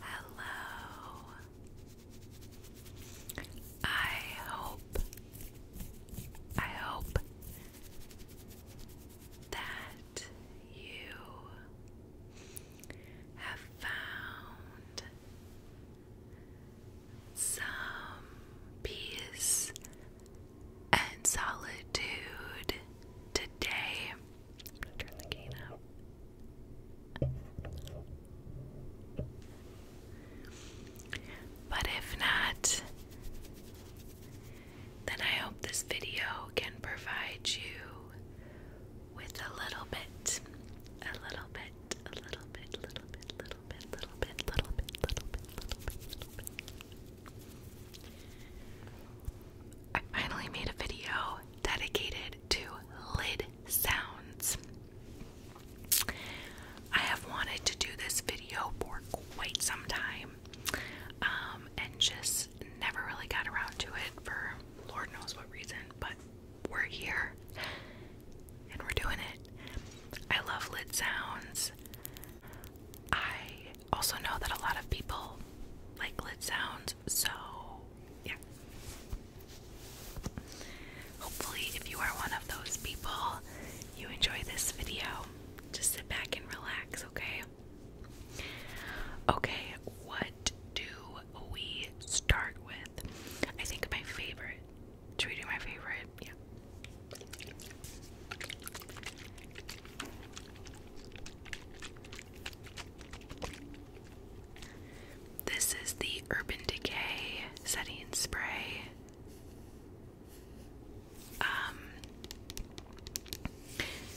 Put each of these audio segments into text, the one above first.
Hello. I hope, I hope that you have found some peace and solitude today i But if not, then I hope this video can provide you with a little bit, a little bit, a little bit, little bit, little bit, little bit, little bit, little bit, little bit, little bit. I finally made a video dedicated to lid sounds. I have wanted to do this video for quite some time um, and just never really got around to it for Lord knows what reason, but we're here and we're doing it. I love lid sounds. I also know that a lot of people like lid sounds so, yeah. Hopefully, if you are one of those people, you enjoy this video. Just sit back and relax, okay? Okay, what do we start with? I think my favorite. Should we do my favorite? Yeah. This is the Urban Decay setting spray. Um,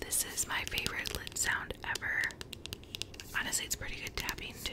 this is my favorite lid sound ever. Honestly, it's pretty good tapping too.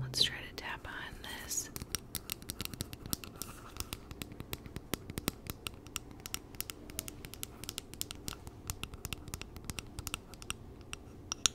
Let's try to tap on this.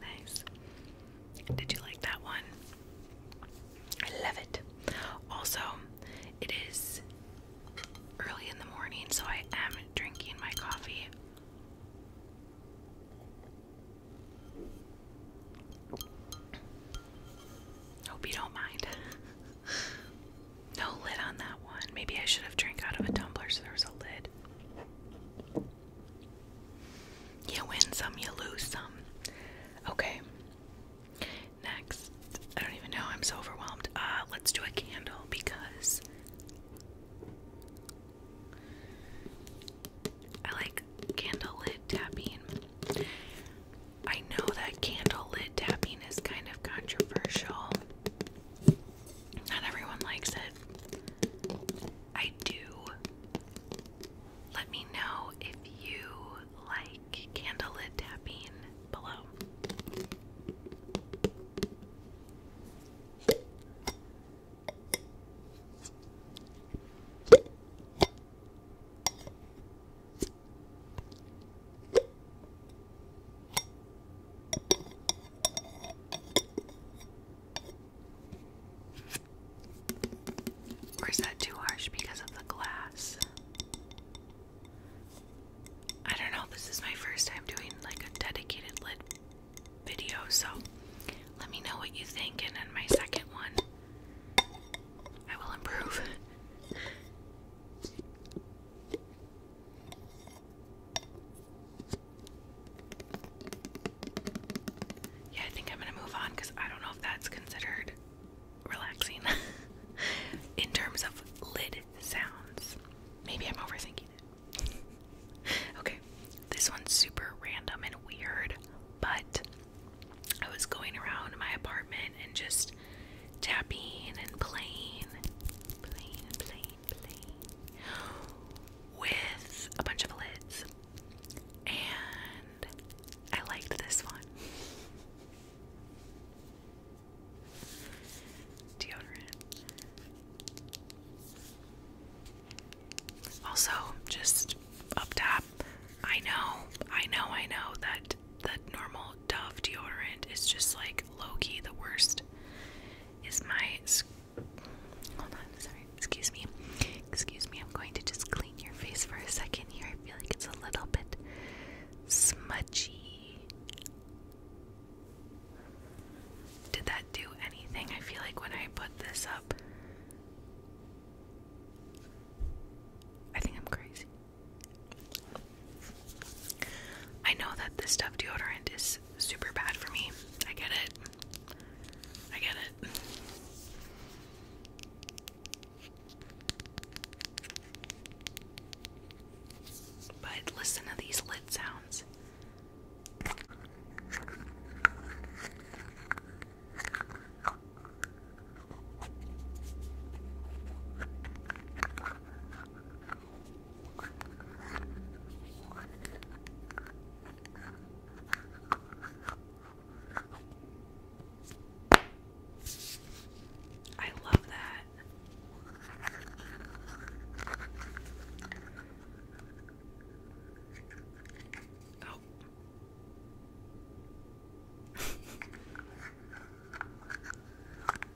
Nice. Did you like that one? I love it. Also, it is early in the morning, so I am drinking my coffee. Hope you don't mind. no lid on that one. Maybe I should have drank out of a tumbler so there was a lid. You win some, you lose some. Okay. Next, I don't even know, I'm so overwhelmed. Uh, let's do a candle because I like candle lit tapping. I know that candle lit tapping is kind of controversial. Not everyone likes it. I do. Let me know if you like candlelit tapping below. Or is that too harsh because of the glass? I don't know, this is my first time doing like a dedicated lid video, so let me know what you think, and in my second one, I will improve. Yeah, I think I'm gonna move on because I don't know if that's considered relaxing in terms of lid sounds. Maybe I'm overthinking it. okay, this one's super random and weird, but I was going around my apartment and just tapping and playing, playing, with a bunch of lids. And I liked this one. Deodorant. Also, just up top, I know, I know, I know that the normal Dove deodorant is just like Loki, the worst is my. Hold on, sorry. Excuse me. Excuse me. I'm going to just clean your face for a second here. I feel like it's a little bit smudgy. Did that do anything? I feel like when I put this up, I think I'm crazy. I know that this stuff deodorant is super bad for me. I get it. I get it. But listen to these lid sounds. I love that. Oh.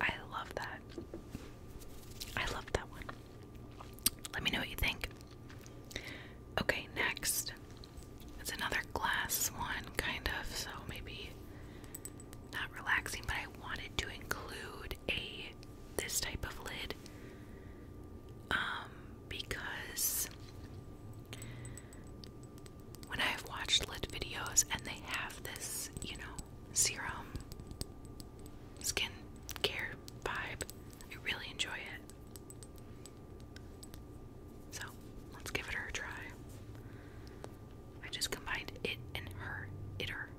I love that. I love that one. Let me know what you think. Okay, next. It's another glass one, kind of, so maybe not relaxing, but I wanted to include a this type of lid um because when I've watched lit videos and they have this, you know, serum skin care vibe, I really enjoy it. So let's give it her a try. I just combined it and her, it her.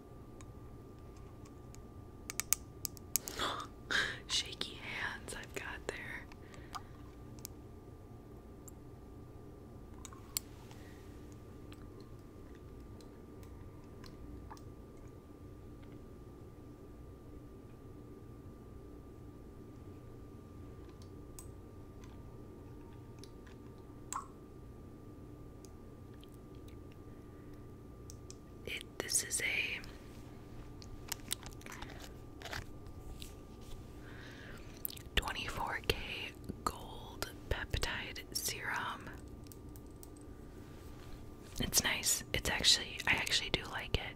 Shaky hands I've got there. It, this is a 24k gold peptide serum. It's nice. It's actually, I actually do like it.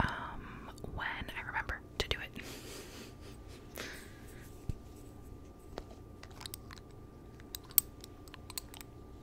Um, when I remember to do it.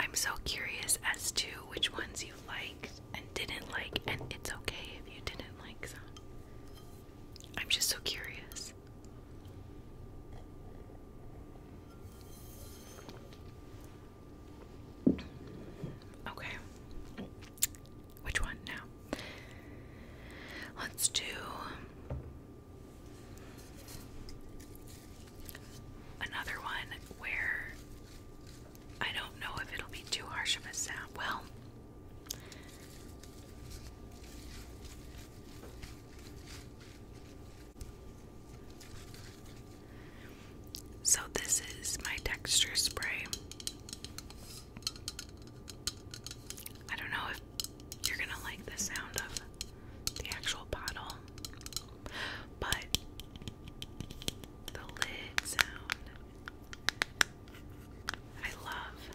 I'm so curious as to which ones you liked and didn't like, and it's okay if you didn't like some. I'm just so curious. Okay. Which one now? Let's do Another one where I don't know if it'll be too harsh of a sound. Well, so this is my texture spray. I don't know if you're gonna like the sound of the actual bottle but the lid sound I love.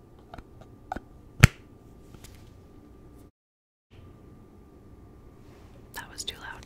That was too loud.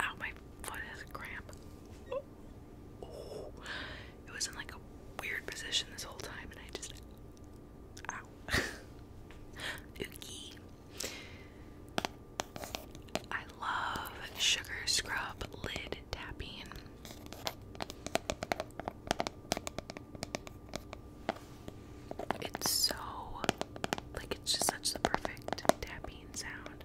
Ow, my foot has a cramp. It was in like a weird position this whole time, and I just. Ow. I love sugar scrub lid tapping. It's so like it's just such the perfect tapping sound.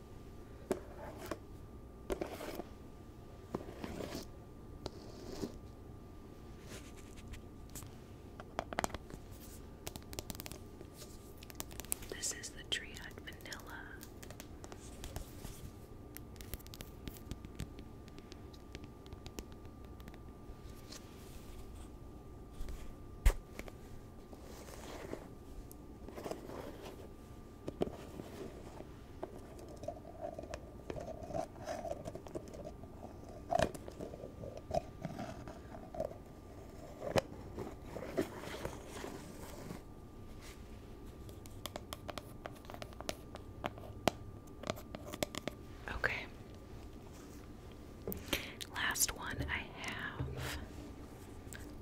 This is the Triad Vanilla. Okay. Last one I have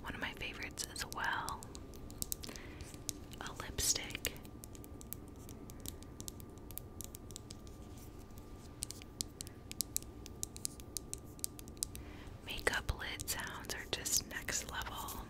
one of my favorites as well. A lipstick. Makeup lid sounds are just next level.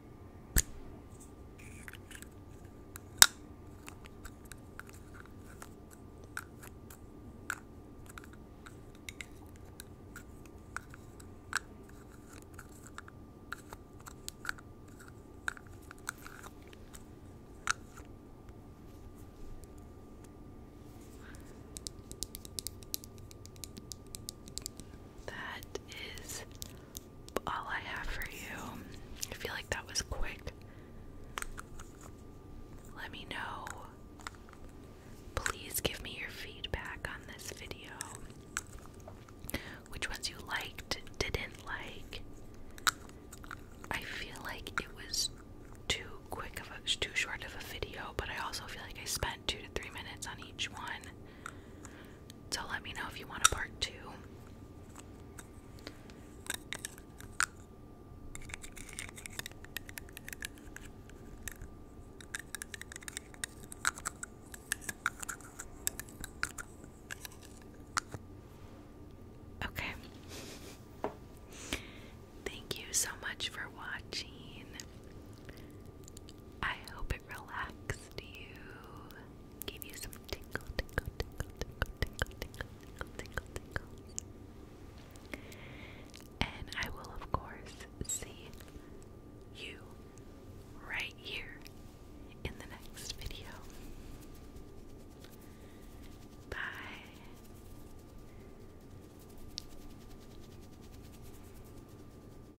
That is all I have for you. I feel like that was quick. Let me know. Please give me your feedback on this video. Which ones you liked, didn't like. I feel like it was too quick of a too short of a video, but I also feel like I spent 2 to 3 minutes on each one. So let me know if you want a part two. Okay. Thank you so much for watching. I hope it relaxed you, gave you some tingle, tingle, tingle, tingle, tingle, tingle, tingle, tingle, tingle. And I will, of course, see you right here in the next video. Bye.